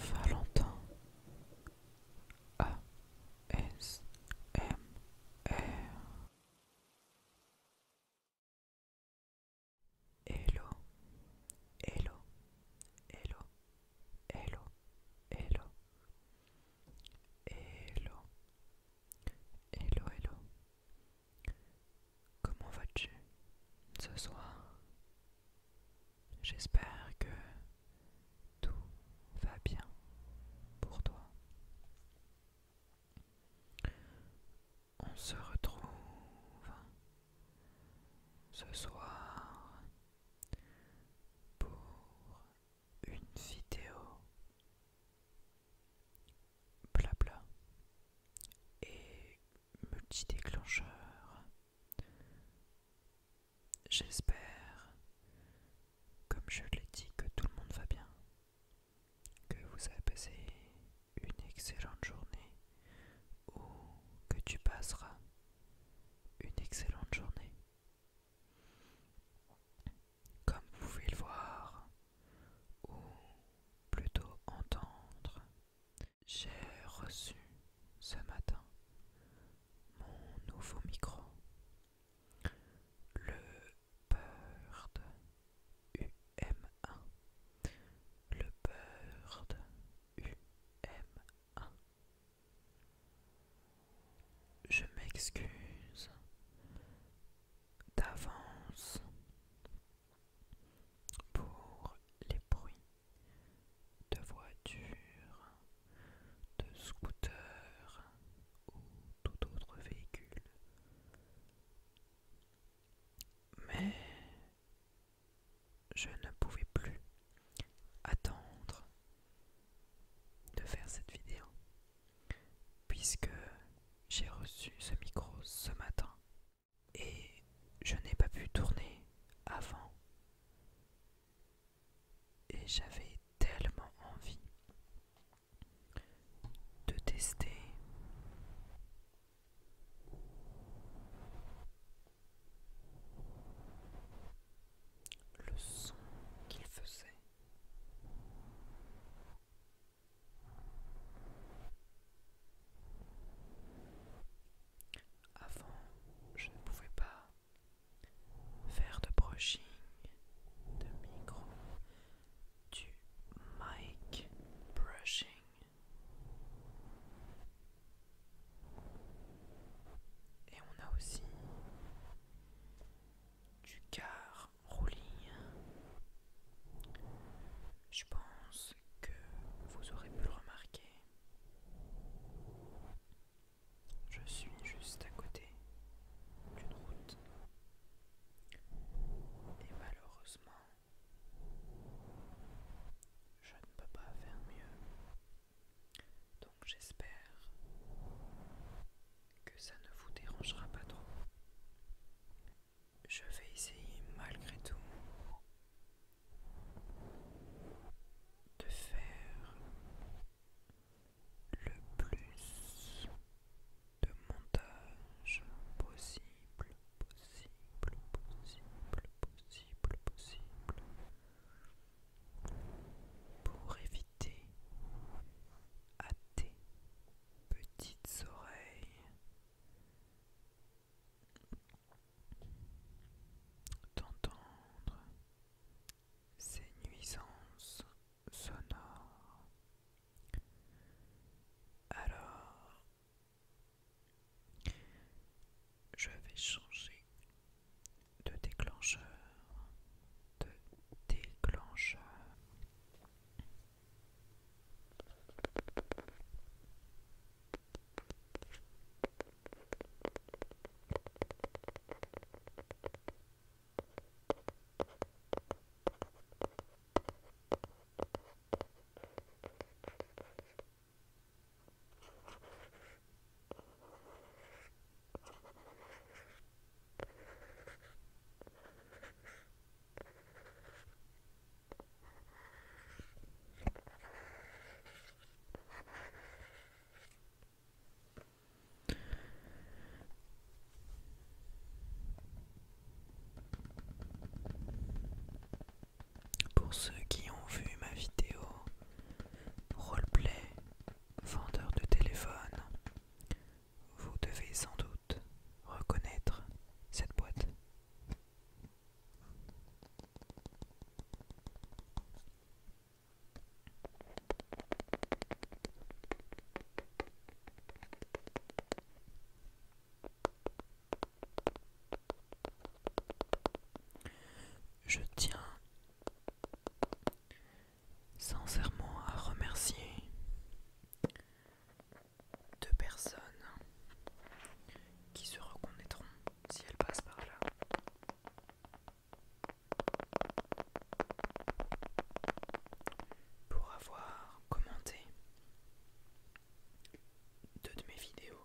Valentin A S M Elo, elo, elo, elo, elo, elo, elo, elo, elo Comment vas-tu ce soir J'espère que tout va bien pour toi. On se retrouve ce soir pour une vidéo blabla et multi-déclencheur. J'espère, comme je l'ai dit, que tout le monde va bien, que vous avez passé une excellente journée ou que tu passeras une excellente journée. Comme vous pouvez le voir, ou plutôt entendre. J'ai reçu ce matin mon nouveau micro, le Bird um Le Bird um Je m'excuse d'avance pour les bruits de voitures, de scooters ou tout autre véhicule. Mais je ne pouvais plus attendre de faire cette vidéo puisque j'ai reçu ce micro ce matin et je n'ai pas pu tourner avant. Et j'avais tellement envie de tester le son qu'il faisait avant, je ne pouvais pas faire de brushing de micro, du mic brushing. Et on a aussi du car je pense que vous aurez pu le remarquer. Je suis juste à côté d'une route. Et malheureusement, je ne peux pas faire mieux. Donc j'espère que ça ne vous dérangera pas trop. Je vais essayer malgré tout de faire le plus de montage possible, possible, possible, possible, possible pour éviter à T petites oreilles, d'entendre ces nuisances sonores. Alors, je vais changer de déclencheur de déclencheur. Pour ceux qui ont vu ma vidéo roleplay vendeur de téléphone vous devez sans doute reconnaître cette boîte. Je tiens sincèrement à remercier deux personnes qui se reconnaîtront si elles passent par là. Pour avoir commenté deux de mes vidéos.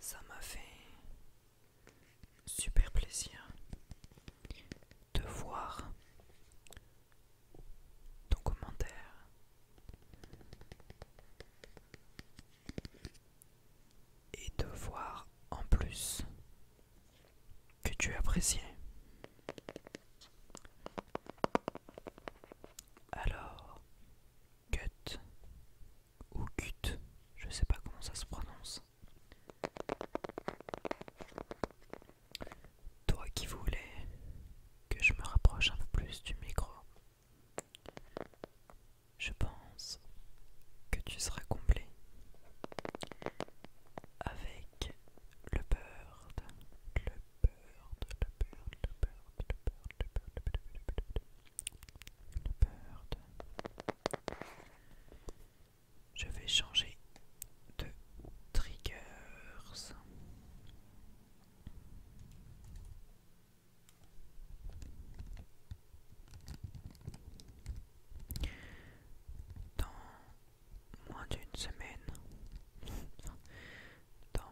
Ça m'a fait super plaisir de voir ton commentaire. Et de voir en plus que tu appréciais alors, gut ou cut, je sais pas comment ça se prononce. Toi qui voulais que je me rapproche un peu plus du micro, je pense que tu seras comblé avec le bird, le bird. Je vais changer de triggers moins d'une semaine dans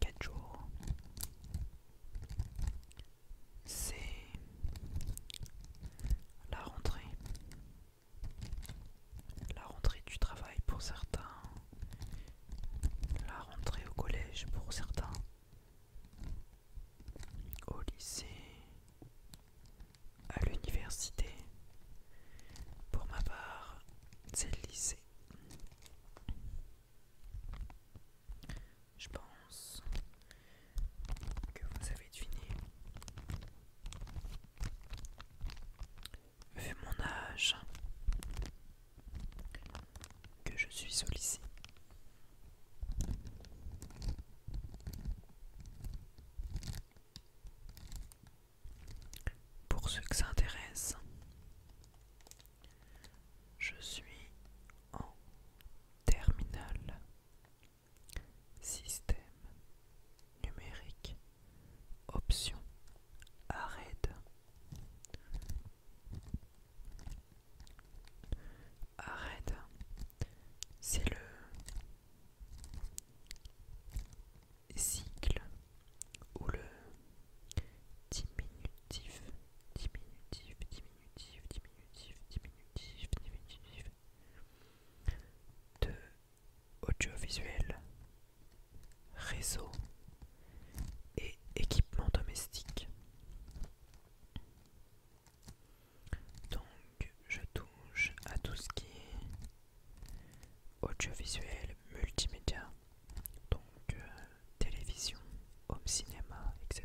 quatre jours c'est la rentrée la rentrée du travail pour certains la rentrée au collège pour certains au lycée à l'université. Pour ma part, c'est le lycée. Je pense que vous avez deviné. Vu mon âge, que je suis au lycée. Pour ceux que ça je suis en Terminal, système numérique option arrête arrête c'est le cycle ou le diminutif, diminutif, diminutif, diminutif, diminutif, diminutif de audiovisuel, réseau et équipement domestique. Donc je touche à tout ce qui est audiovisuel, multimédia, donc euh, télévision, home cinéma, etc.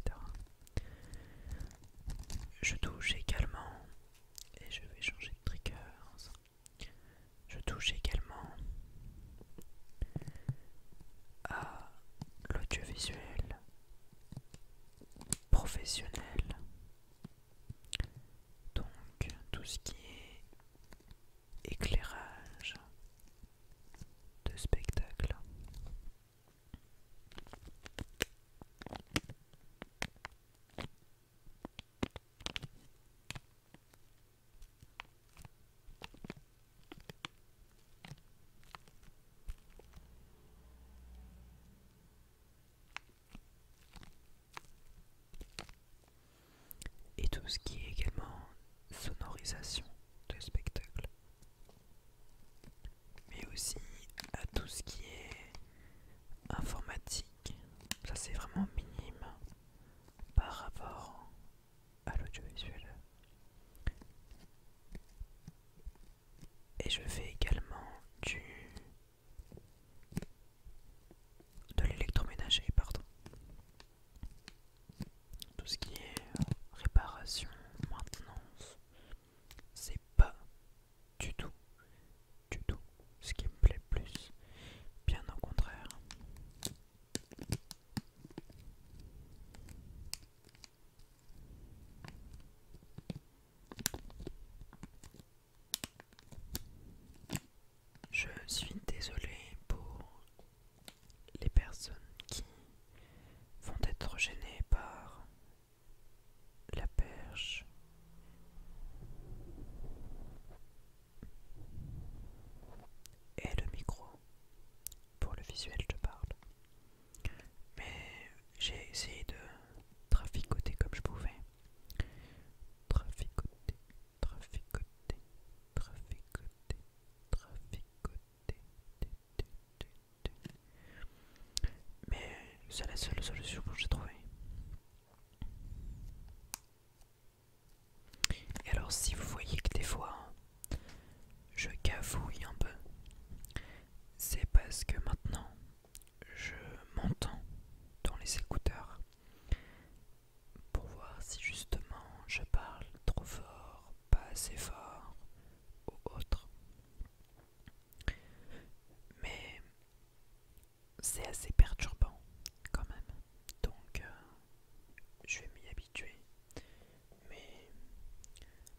Je touche également, et je vais changer de trigger, je touche également à l'audiovisuel, professionnel. Donc tout ce qui est éclairage de spectacle. Et tout ce qui est également sonorisation de spectacle. Mais aussi à tout ce qui est informatique. Ça c'est vraiment minime par rapport à l'audiovisuel. Et je fais également du de l'électroménager, pardon. Tout ce qui est euh, réparation, maintenance, c'est pas du tout, du tout ce qui me plaît le plus. Bien au contraire. Je suis désolée pour les personnes qui vont être gênées par la perche. Et le micro pour le visuel, je parle. Mais j'ai essayé de traficoter comme je pouvais. Traficoter, traficoter, traficoter, traficoter. Mais c'est la seule solution que j'ai trouvée. Et alors si vous voyez que des fois je gavouille un peu. C'est parce que maintenant, je m'entends dans les écouteurs pour voir si justement je parle trop fort, pas assez fort ou autre. Mais c'est assez perturbant quand même. Donc euh, je vais m'y habituer mais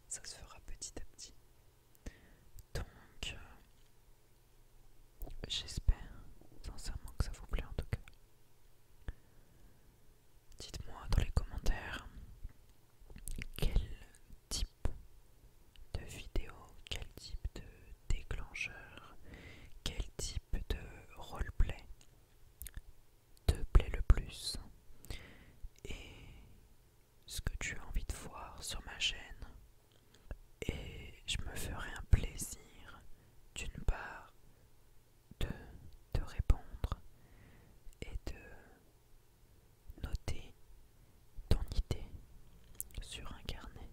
ça se fera petit à petit. Donc, euh, j'espère sincèrement que ça vous plaît en tout cas. Dites-moi dans les commentaires quel type de vidéo, quel type de déclencheur, quel type de roleplay te plaît le plus et ce que tu as envie de voir sur ma chaîne. Et je me ferai un plaisir d'une part de te répondre et de noter ton idée sur un carnet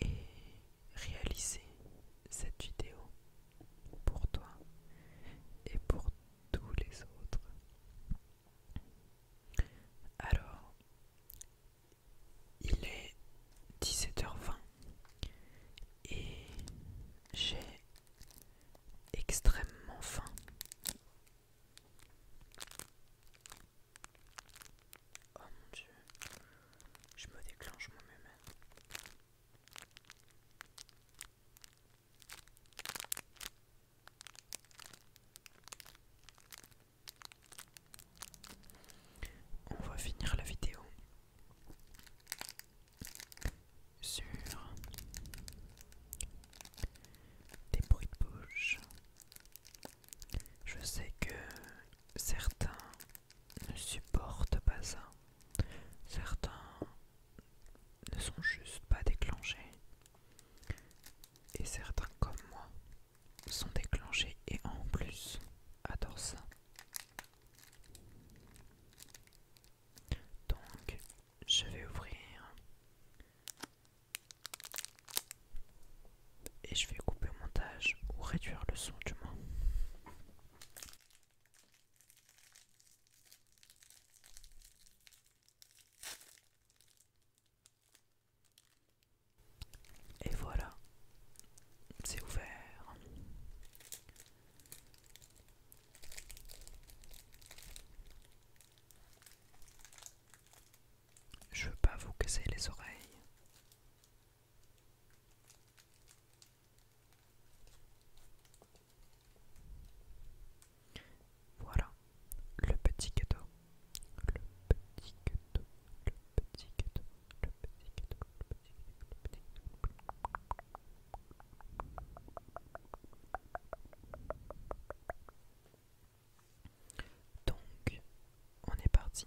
et réaliser cette vidéo pour toi et pour tous les autres. Alors, il est 17h20 et j'ai extrêmement faim. Oh mon dieu, je me déclenche moi-même. On va finir la vidéo sur des bruits de bouche. Je sais que certains ne supporte pas ça. Certains ne sont juste pas déclenchés. Et certains comme moi sont déclenchés et en plus adorent ça. Donc je vais ouvrir et je vais couper le montage ou réduire le son du moins. Et voilà, c'est ouvert. Je veux pas vous casser les oreilles. Voilà le petit cadeau. Le petit cadeau. Le petit cadeau. Le petit cadeau. Le petit cadeau. Donc, on est parti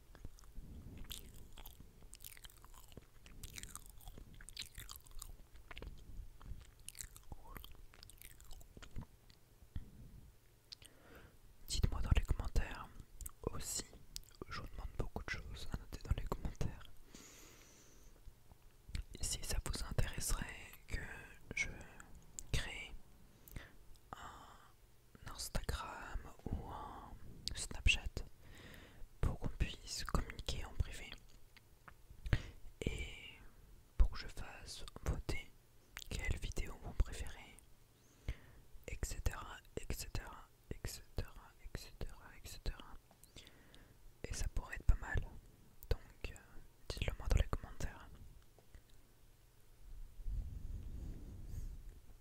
Dites-moi dans les commentaires aussi, je vous demande beaucoup de choses à noter dans les commentaires. si ça vous intéresserait que je crée un Instagram ou Snapchat pour qu'on puisse communiquer en privé et pour que je fasse voter quelle vidéo vous préférez, etc., etc., etc., etc., etc. Et ça pourrait être pas mal, donc euh, dites-le moi dans les commentaires.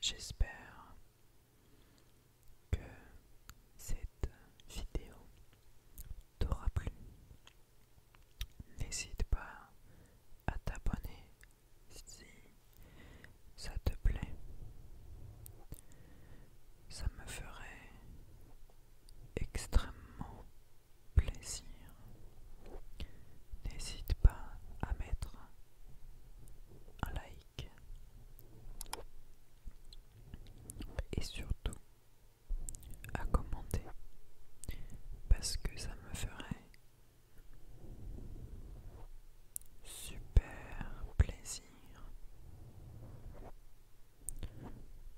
J'espère que cette vidéo t'aura plu. N'hésite pas à t'abonner si ça te plaît. Ça me ferait extrêmement plaisir. N'hésite pas à mettre un like. Et surtout à commenter parce que ça me ferait super plaisir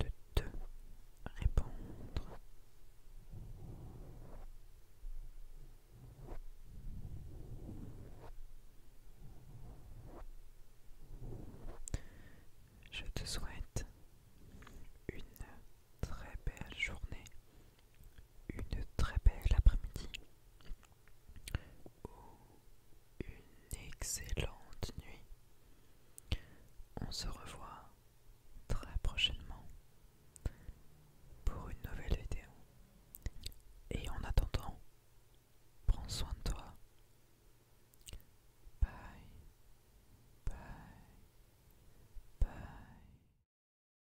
de te répondre. Je te souhaite une très belle journée une très belle après-midi ou une excellente nuit. On se revoit très prochainement pour une nouvelle vidéo. Et en attendant, prends soin de toi. Bye. Bye. Bye.